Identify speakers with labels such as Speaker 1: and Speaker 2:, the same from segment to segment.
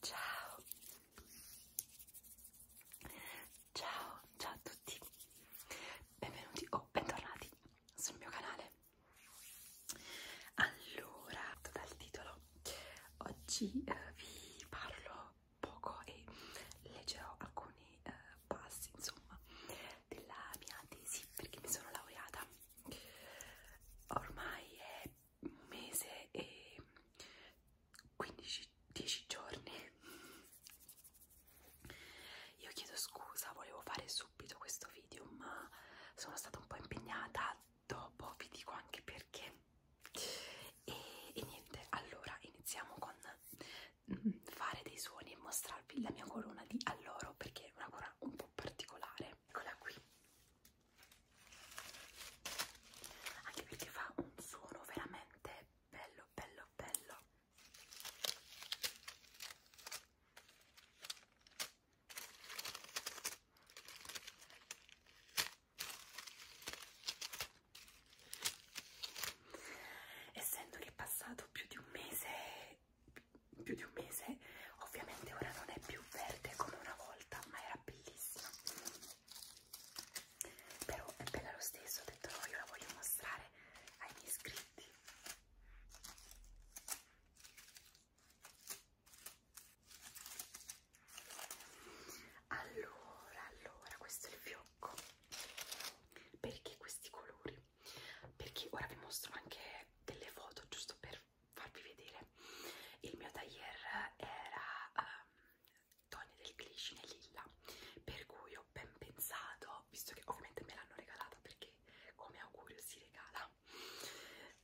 Speaker 1: Ciao, ciao, ciao a tutti, benvenuti o oh, bentornati sul mio canale. Allora, dal titolo, oggi eh, vi parlo poco e leggerò alcuni eh, passi, insomma, della mia tesi perché mi sono laureata ormai è un mese e 15 10 giorni io chiedo scusa volevo fare subito questo video ma sono stata un po' impegnata dopo vi dico anche perché e, e niente allora iniziamo con mm, fare dei suoni e mostrarvi la mia corona di alloro perché è una corona un po' particolare eccola qui anche perché fa un suono veramente bello bello bello essendo che è passato più di un mese più di un mese ovviamente ora non è più verde come una volta ma era bellissima però è bella lo stesso ho detto no io la voglio mostrare ai miei iscritti allora allora questo è il fiocco perché questi colori perché ora vi mostro anche delle foto giusto per farvi vedere il mio taglier era um, Tony del Clichy e Lilla per cui ho ben pensato visto che ovviamente me l'hanno regalata perché come augurio si regala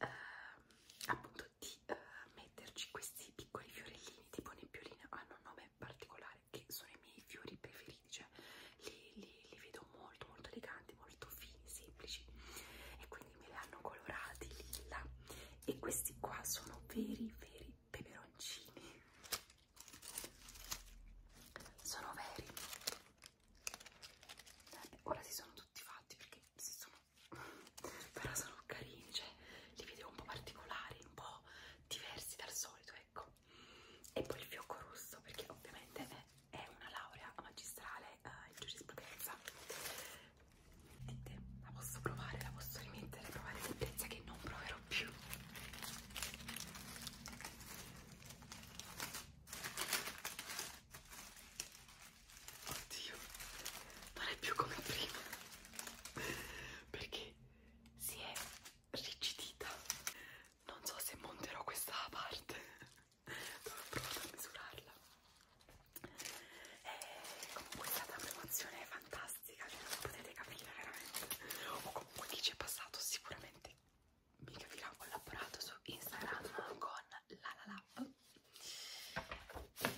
Speaker 1: uh, appunto di uh, metterci questi piccoli fiorellini tipo nebbioline hanno un nome particolare che sono i miei fiori preferiti cioè li, li li, li vedo molto molto eleganti, molto fini, semplici e quindi me li hanno colorati lilla e questi qua sono veri veri peperoncini sono veri eh, ora si sono tutti fatti perché si sono però sono carini cioè li vedo un po' particolari un po' diversi dal solito ecco e poi il fiocco rosso perché ovviamente è eh, è una laurea magistrale eh, in giurisprudenza. Niente, la posso provare, la posso rimettere, provare sentenze che non proverò più. Oddio, non è più come prima perché si è rigidita. Non so se monterò questa parte dove ho provato a misurarla e eh, comunque è stata una promozione fantastica cioè non potete capire veramente o comunque chi ci è passato sicuramente mi capirà ho collaborato su Instagram con la la lab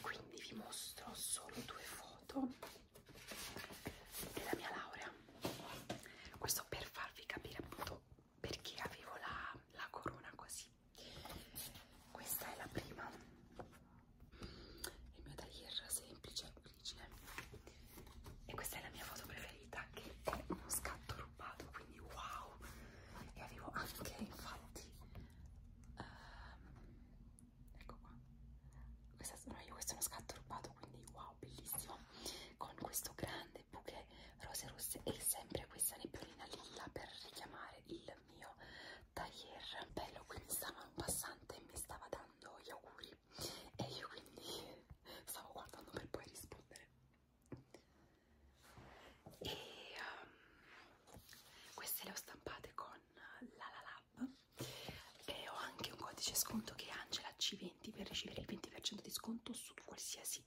Speaker 1: quindi vi mostro solo due foto della mia laurea questo per farvi capire appunto perché avevo la, la corona così questa è la prima il mio taglier semplice origine e questa è la mia foto preferita che è uno scatto rubato quindi wow e avevo anche infatti um, ecco qua questa, no, io questo è uno scatto rubato quindi wow bellissimo con questo grande grande buche rose rosse e sempre questa nebbiolina lilla per richiamare il mio taglier bello quindi stavano passante e mi stava dando gli auguri e io quindi stavo guardando per poi rispondere e um, queste le ho stampate con la la lab e ho anche un codice sconto che è Angela C20 pagamenti per ricevere il 20% di sconto su qualsiasi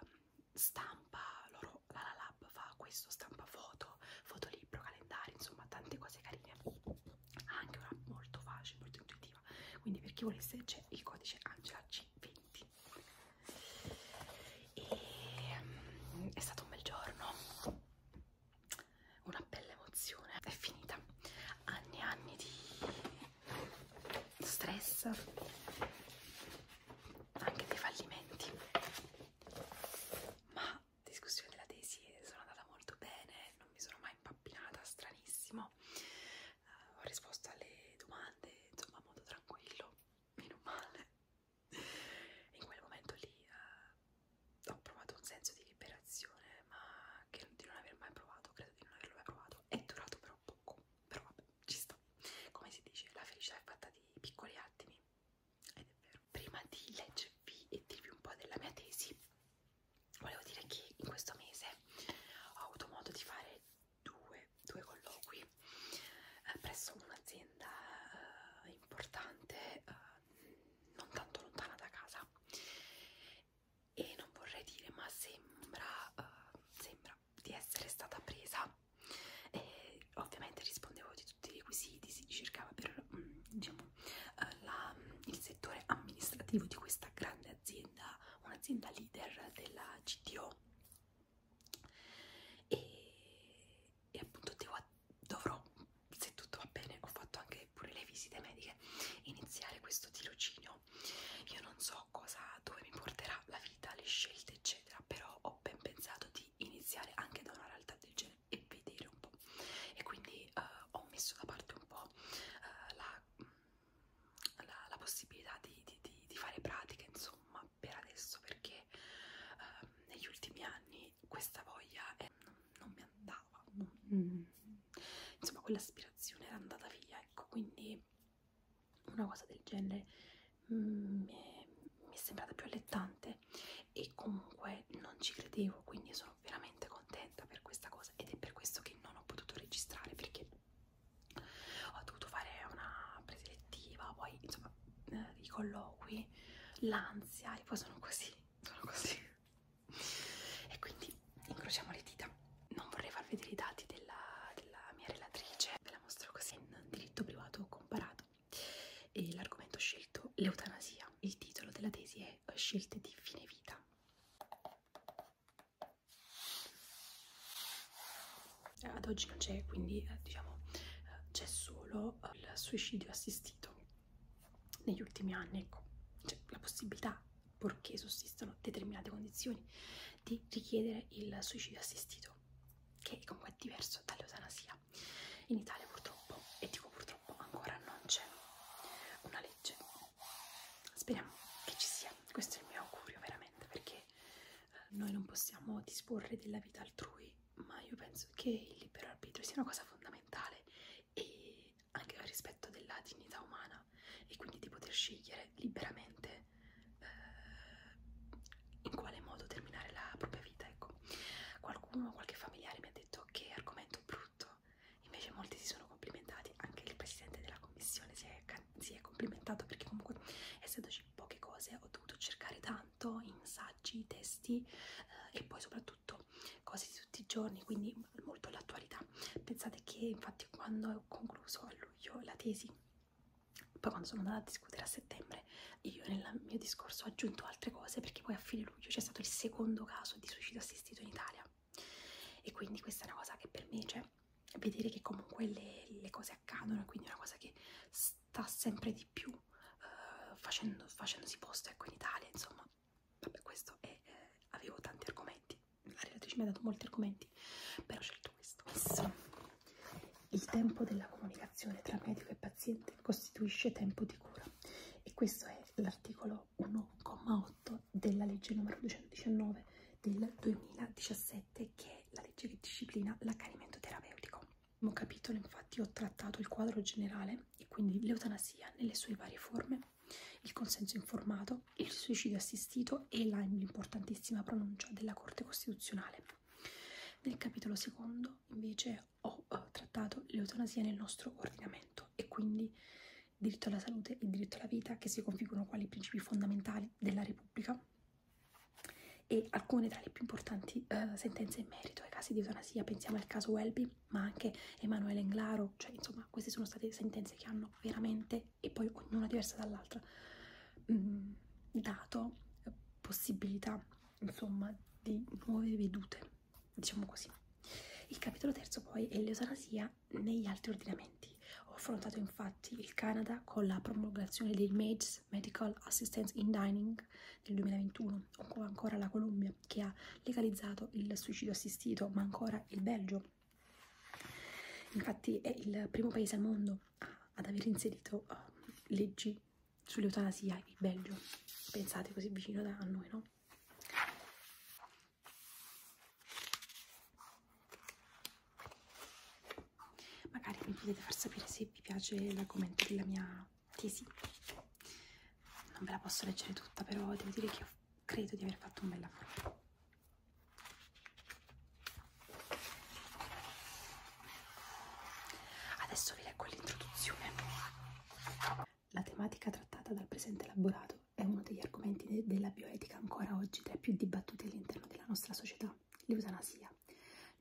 Speaker 1: um, stampa, loro la, la lab fa questo, stampa foto, fotolibro, calendario, insomma tante cose carine, anche una molto facile, molto intuitiva, quindi per chi volesse c'è il codice Angela C20. E um, è stato un bel giorno, una bella emozione, è finita, anni e anni di stress anche dei fallimenti ma discussione della tesi eh, sono andata molto bene non mi sono mai impappinata stranissimo uh, ho risposto alle domande insomma a modo tranquillo meno male in quel momento lì uh, ho provato un senso di liberazione ma che di non aver mai provato credo di non averlo mai provato è durato per sembra un poco, però vabbè, ci sta. Come si dice, la felicità è fatta di piccoli attimi, ed è vero. Prima di leggervi e dirvi un po' della mia tesi, volevo dire che in questo mese ho avuto modo di fare due, due colloqui eh, presso un'azienda eh, importante, eh, non tanto lontana da casa e non vorrei dire ma sembra, uh, sembra di essere stata presa e ovviamente rispondevo di tutti i requisiti, si cercava per um, diciamo, uh, la, um, il settore amministrativo di questa grande azienda, un'azienda leader della CTO e, e appunto devo, dovrò, se tutto va bene, ho fatto anche pure le visite mediche, iniziare questo tirocinio. Io non so so cosa, dove mi porterà la vita, le scelte eccetera, però ho ben pensato di iniziare anche da una realtà del genere e vedere un po'. E quindi eh, ho messo da parte un po' eh, la, mm, la, la possibilità di, di, di, di fare pratica, insomma, per adesso, perché eh, negli ultimi anni questa voglia è, eh, non, non mi andava, non, mm. insomma, quell'aspirazione era andata via, ecco, quindi poi una cosa del genere mm, mi è sembrata più allettante e comunque non ci credevo quindi sono veramente contenta per questa cosa ed è per questo che non ho potuto registrare perché ho dovuto fare una preselettiva poi insomma eh, i colloqui l'ansia e poi sono così sono così e quindi incrociamo le dita non vorrei far vedere i dati della, della mia relatrice ve la mostro così in diritto privato comparato e l'argomento scelto l'eutanasia il titolo della tesi è eh, scelte di fine vita ad oggi non c'è quindi eh, diciamo eh, c'è solo il suicidio assistito negli ultimi anni ecco c'è la possibilità purché sussistano determinate condizioni, di richiedere il suicidio assistito, che comunque è diverso dall'eutanasia. In Italia purtroppo, e dico purtroppo, ancora non c'è una legge. Speriamo che ci sia, questo è il mio augurio veramente, perché eh, noi non possiamo disporre della vita altrui, ma io penso che il libero arbitrio sia una cosa fondamentale e anche al rispetto della dignità umana e quindi di poter scegliere liberamente eh, in quale modo terminare la propria vita. Ecco. Qualcuno, qualche familiare mi ha detto che argomento brutto, invece molti si sono complimentati, anche il presidente della commissione si è, si è complimentato perché comunque essendoci poche cose ho dovuto cercare tanto in saggi, testi eh, e poi soprattutto cose tutti i giorni, quindi molto all'attualità. Pensate che infatti quando ho concluso a luglio la tesi, poi quando sono andata a discutere a settembre, io nel mio discorso ho aggiunto altre cose perché poi a fine luglio c'è stato il secondo caso di suicidio assistito in Italia. E quindi questa è una cosa che per me, cioè, vedere che comunque le, le cose accadono, quindi è una cosa che sta sempre di più uh, facendo, facendosi posto ecco in Italia, insomma, vabbè questo è, eh, avevo tanti argomenti, la relatrice mi ha dato molti argomenti, però ho scelto questo. questo. Il tempo della comunicazione tra medico e paziente costituisce tempo di cura e questo è l'articolo 1,8 della legge numero 219 del 2017 che è la legge che disciplina l'accanimento terapeutico. Nel capitolo infatti ho trattato il quadro generale e quindi l'eutanasia nelle sue varie forme il consenso informato, il suicidio assistito e l'importantissima pronuncia della Corte Costituzionale. Nel capitolo secondo invece ho eh, trattato l'eutanasia nel nostro ordinamento e quindi diritto alla salute e diritto alla vita che si configurano quali principi fondamentali della Repubblica e alcune tra le più importanti eh, sentenze in merito ai casi di eutanasia, pensiamo al caso Welby ma anche Emanuele Englaro, cioè insomma queste sono state sentenze che hanno veramente, e poi ognuna diversa dall'altra, mm, dato eh, possibilità insomma di nuove vedute, diciamo così. Il capitolo terzo poi è l'eutanasia negli altri ordinamenti. Ho affrontato infatti il Canada con la promulgazione dei MAIDS, Medical Assistance in Dining, del 2021, o ancora la Colombia Nazione che ha legalizzato il suicidio assistito, ma ancora il Belgio. Infatti è il primo paese al mondo ad aver inserito uh, leggi sull'eutanasia, il Belgio. Pensate così vicino da noi, no? Magari mi potete far sapere se vi piace l'argomento della mia tesi. Non ve la posso leggere tutta, però devo dire che ho credo di aver fatto un bel lavoro adesso vi leggo l'introduzione la tematica trattata dal presente elaborato è uno degli argomenti de della bioetica ancora oggi tra i più dibattuti all'interno della nostra società l'eutanasia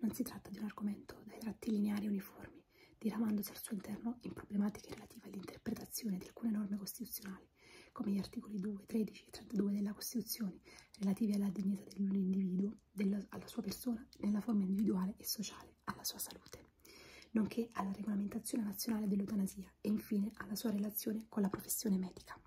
Speaker 1: non si tratta di un argomento dai tratti lineari e uniformi diramandosi al suo interno in problematiche relative all'interpretazione di alcune norme costituzionali, come gli articoli 2, 13 e 32 della Costituzione, relativi alla dignità dell'individuo, della, alla sua persona, nella forma individuale e sociale, alla sua salute, nonché alla regolamentazione nazionale dell'eutanasia e infine alla sua relazione con la professione medica.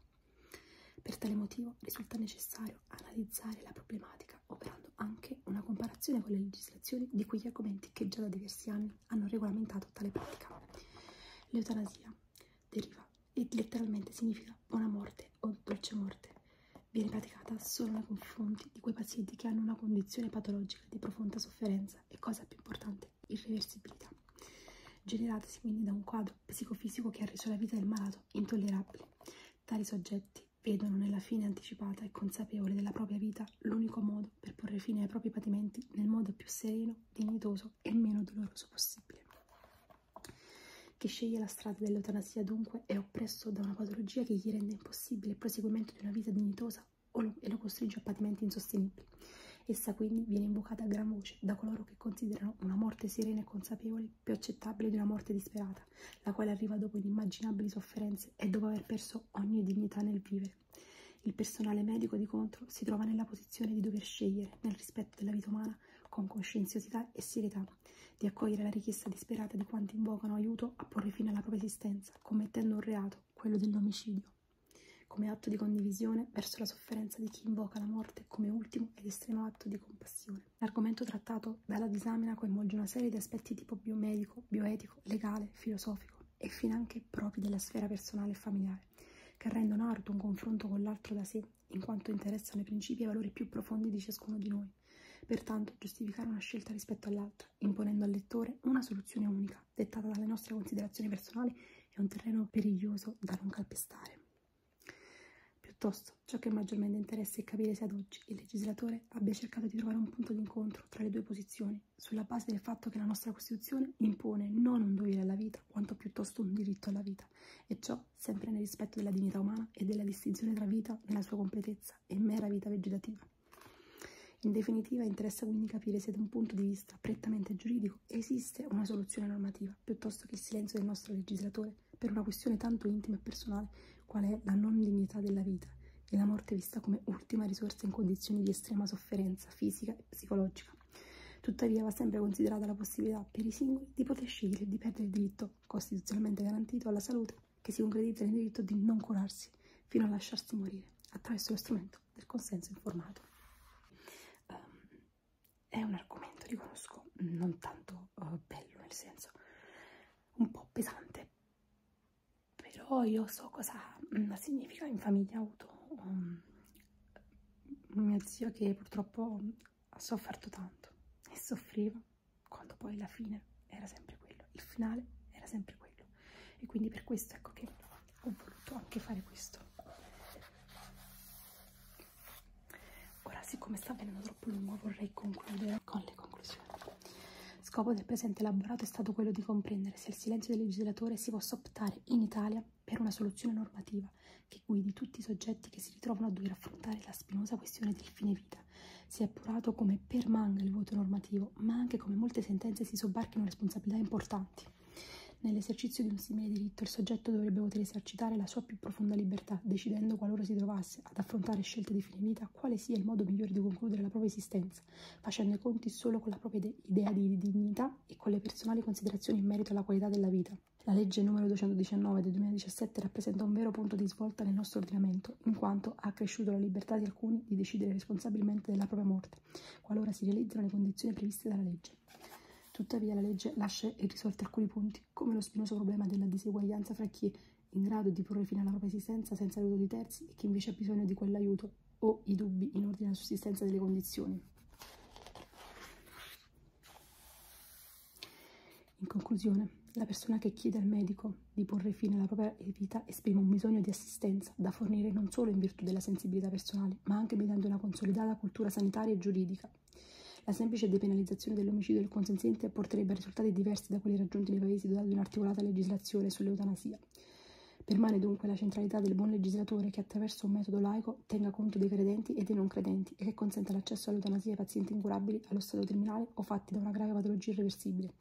Speaker 1: Per tale motivo risulta necessario analizzare la problematica operando anche una comparazione con le legislazioni di quegli argomenti che già da diversi anni hanno regolamentato tale pratica. L'eutanasia deriva e letteralmente significa buona morte o dolce morte. Viene praticata solo nei confronti di quei pazienti che hanno una condizione patologica di profonda sofferenza e, cosa più importante, irreversibilità, generatasi quindi da un quadro psicofisico che ha reso la vita del malato intollerabile. Tali soggetti vedono nella fine anticipata e consapevole della propria vita l'unico modo modo per porre fine ai propri patimenti nel modo più sereno, dignitoso e meno doloroso possibile. Chi sceglie la strada dell'eutanasia dunque è oppresso da una patologia che gli rende impossibile il proseguimento di una vita dignitosa lo, e lo costringe a patimenti insostenibili. Essa quindi viene invocata a gran voce da coloro che considerano una morte serena e consapevole più accettabile di una morte disperata, la quale arriva dopo inimmaginabili sofferenze e dopo aver perso ogni dignità nel vivere. Il personale medico, di contro, si trova nella posizione di dover scegliere, nel rispetto della vita umana, con coscienziosità e serietà, di accogliere la richiesta disperata di quanti invocano aiuto a porre fine alla propria esistenza, commettendo un reato, quello dell'omicidio, come atto di condivisione verso la sofferenza di chi invoca la morte come ultimo ed estremo atto di compassione. L'argomento trattato dalla disamina coinvolge una serie di aspetti tipo biomedico, bioetico, legale, filosofico e finanche propri della sfera personale e familiare, che rendono arduo un confronto con l'altro da sé, in quanto interessano i principi e i valori più profondi di ciascuno di noi. Pertanto, giustificare una scelta rispetto all'altra, imponendo al lettore una soluzione unica, dettata dalle nostre considerazioni personali, è un terreno periglioso da non calpestare. Piuttosto, ciò che maggiormente interessa è capire se ad oggi il legislatore abbia cercato di trovare un punto d'incontro tra le due posizioni, sulla base del fatto che la nostra Costituzione impone non un dovere alla vita, quanto piuttosto un diritto alla vita, e ciò sempre nel rispetto della dignità umana e della distinzione tra vita nella sua completezza e mera vita vegetativa. In definitiva, interessa quindi capire se da un punto di vista prettamente giuridico esiste una soluzione normativa, piuttosto che il silenzio del nostro legislatore per una questione tanto intima e personale qual è la non dignità della vita, e la morte vista come ultima risorsa in condizioni di estrema sofferenza fisica e psicologica. Tuttavia va sempre considerata la possibilità per i singoli di poter scegliere di perdere il diritto costituzionalmente garantito alla salute che si concretizza nel diritto di non curarsi fino a lasciarsi morire attraverso lo strumento del consenso informato. Um, è un argomento, riconosco, non tanto uh, bello nel senso un po' pesante però io so cosa mm, significa in famiglia avuto um, mio zio che purtroppo ha sofferto tanto e soffriva quando poi la fine era sempre quello, il finale era sempre quello e quindi per questo ecco che ho voluto anche fare questo. Ora siccome sta venendo troppo lungo vorrei concludere conclusione, con le conclusioni. Scopo del presente elaborato è stato quello di comprendere se al silenzio del legislatore si possa optare in Italia per una soluzione normativa che guidi tutti i soggetti che si ritrovano a dover affrontare la spinosa questione del fine vita. Si è appurato come permanga il voto normativo, ma anche come molte sentenze si sobbarchino responsabilità importanti. Nell'esercizio di un simile diritto il soggetto dovrebbe poter esercitare la sua più profonda libertà, decidendo qualora si trovasse ad affrontare scelte di fine vita quale sia il modo migliore di concludere la propria esistenza, Marx, facendo i conti solo con la propria idea di dignità e con le personali considerazioni in merito alla qualità della vita. La legge numero 219 del 2017 rappresenta un vero punto di svolta nel nostro ordinamento, in quanto ha accresciuto la libertà di alcuni di decidere responsabilmente della propria morte, qualora si realizzino le condizioni previste dalla legge. Tuttavia la legge lascia irrisolti alcuni punti, come lo spinoso problema della diseguaglianza fra chi in grado di porre fine alla propria esistenza senza l'aiuto di terzi e chi invece ha bisogno di quell'aiuto o i dubbi in ordine alla sussistenza delle condizioni. In conclusione, la persona che chiede al medico di porre fine alla propria vita esprime un bisogno di assistenza da fornire non solo in virtù della sensibilità personale, ma anche mediante una consolidata cultura sanitaria e giuridica. La semplice depenalizzazione dell'omicidio del consenziente porterebbe a risultati diversi diversi da quelli raggiunti nei paesi dotati di un'articolata legislazione sull'eutanasia. Permane dunque la centralità del buon legislatore che attraverso un metodo laico tenga conto dei credenti e dei non credenti e che consenta l'accesso all'eutanasia ai pazienti incurabili allo stato terminale o fatti da una grave patologia irreversibile.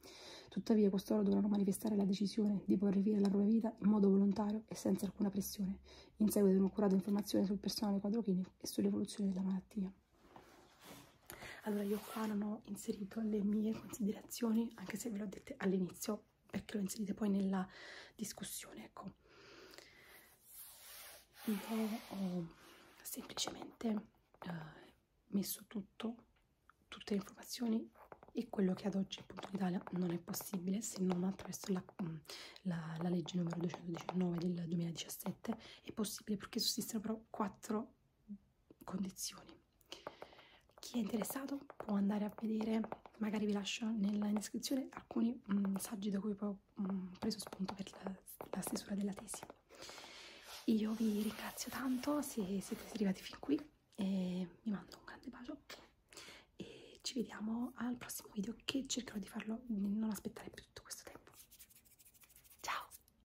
Speaker 1: Tuttavia costoro dovranno manifestare la decisione di porre fine alla propria vita in modo volontario e senza alcuna pressione, in seguito ad un'occurata informazione sul personale quadro clinico e sull'evoluzione della malattia. Allora, io qua non ho inserito le mie considerazioni, anche se ve le ho dette all'inizio, perché lo inserite poi nella discussione, ecco. Io ho semplicemente eh, messo tutto, tutte le informazioni e quello che ad oggi appunto in Italia non è possibile se non attraverso la, mm, la, la legge numero 219 del 2017 è possibile perché sussistono però quattro condizioni. Chi è interessato può andare a vedere, magari vi lascio nella descrizione alcuni mh, mm, saggi da cui ho mh, mm, preso spunto per la, la stesura della tesi. Io vi ringrazio tanto se siete arrivati fin qui e vi mando un grande bacio e ci vediamo al prossimo video che cercherò di farlo non aspettare più tutto questo tempo. Ciao!